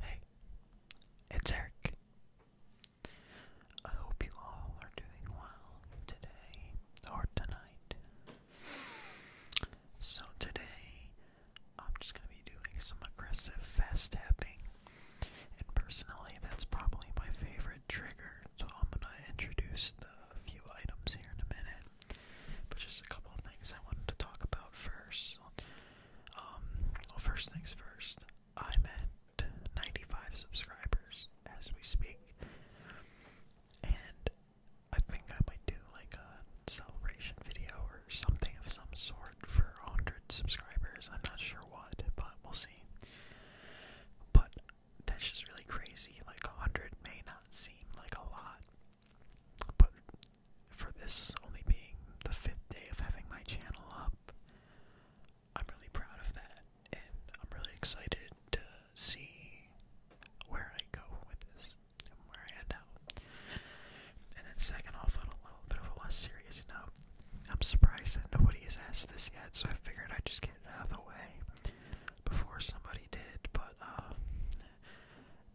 Hey, it's Eric. I hope you all are doing well today or tonight. So, today I'm just going to be doing some aggressive fast tapping, and personally, that's probably my favorite trigger. So, I'm going to introduce the few items here in a minute. But just a couple of things I wanted to talk about first. Um, well, first things first, met 95 subscribers as we speak, and I think I might do like a celebration video or something of some sort for 100 subscribers. I'm not sure what, but we'll see. But that's just really crazy. Like 100 may not seem like a lot, but for this only being the fifth day of having my channel up, I'm really proud of that, and I'm really excited to see where I go with this and where I end up. And then, second off, on a little bit of a less serious note, I'm surprised that nobody has asked this yet, so I figured I'd just get it out of the way before somebody did. But uh,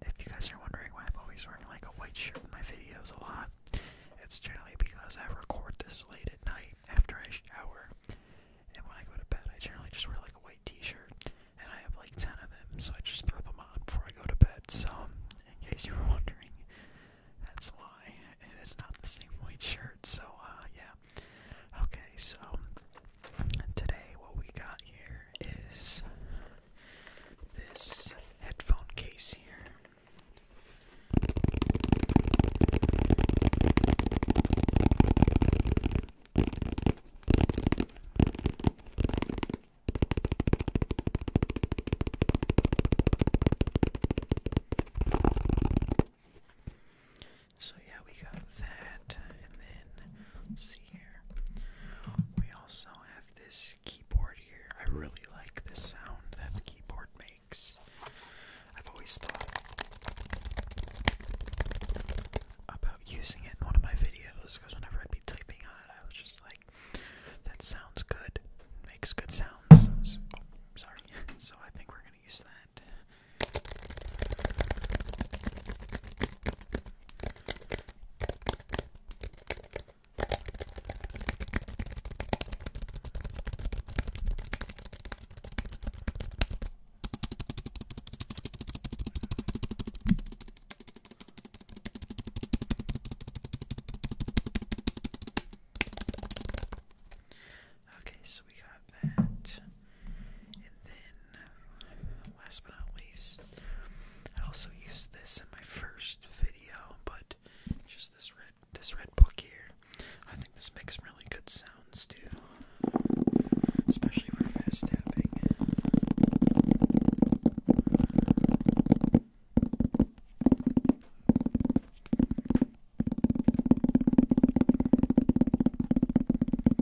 if you guys are wondering why I'm always wearing like a white shirt in my videos a lot, it's generally because I record this late at night after I shower. And when I go to bed, I generally just wear like a white t-shirt, and I have like 10 of them, so I just throw them on before I go to bed. So, in case you were wondering, that's why it is not the same white shirt. So, uh, yeah. Okay, Okay, so today what we got here is this headphone case here. So yeah, we got that, and then let's see here. We also have this keyboard here. I really like the sound that the keyboard makes. I've always thought about using it in one of my videos because whenever I'd be typing on it, I was just like, "That sounds good. Makes good sounds." sorry. So I think we're gonna going to use that. Okay, so we got that. And then, last but not least, I also used this in my first video, but just this red this red book here. I think this makes really good sounds too, especially for fast tapping.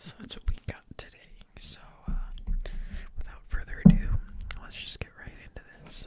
So that's what we got today. So uh, without further ado, let's just get right into this.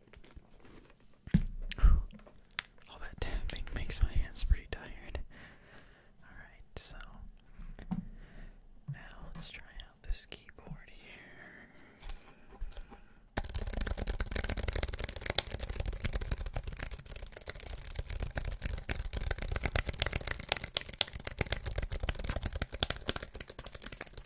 All that tapping makes my hands pretty tired. Alright, so now let's try out this keyboard here.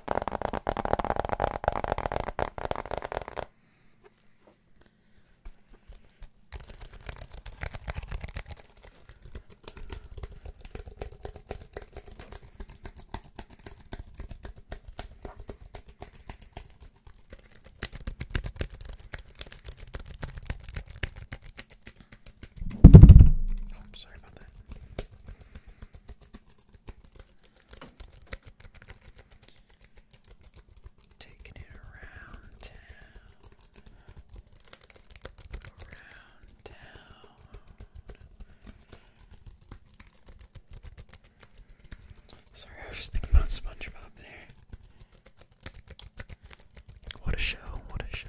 Oh, I'm sorry about that. Taking it around town, around town. Sorry, I was just thinking about SpongeBob there. What a show! What a show!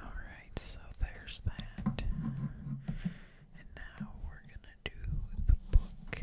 All right, so there's that. And now we're going to do the book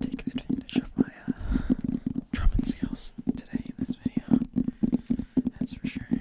Taking advantage of my uh, drumming skills today in this video, that's for sure.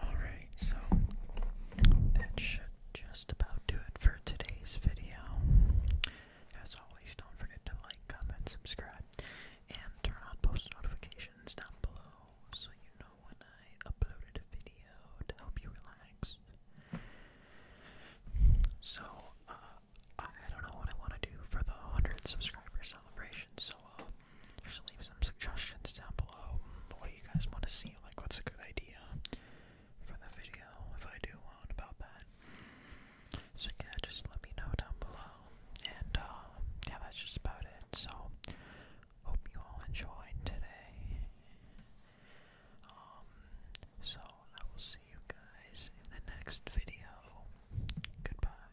Alright, so that should just about do it for today's video. As always, don't forget to like, comment, subscribe, and turn on post notifications down below so you know when I uploaded a video to help you relax. So, uh, I don't know what I want to do for the 100 subscriber celebration, so uh, just leave some suggestions down below. What do you guys want to see? Like, what's a good idea for the video if I do one about that? So, yeah, just let me know down below. And, uh, yeah, that's just about it. So, hope you all enjoyed today. Um, so, I will see you guys in the next video. Goodbye.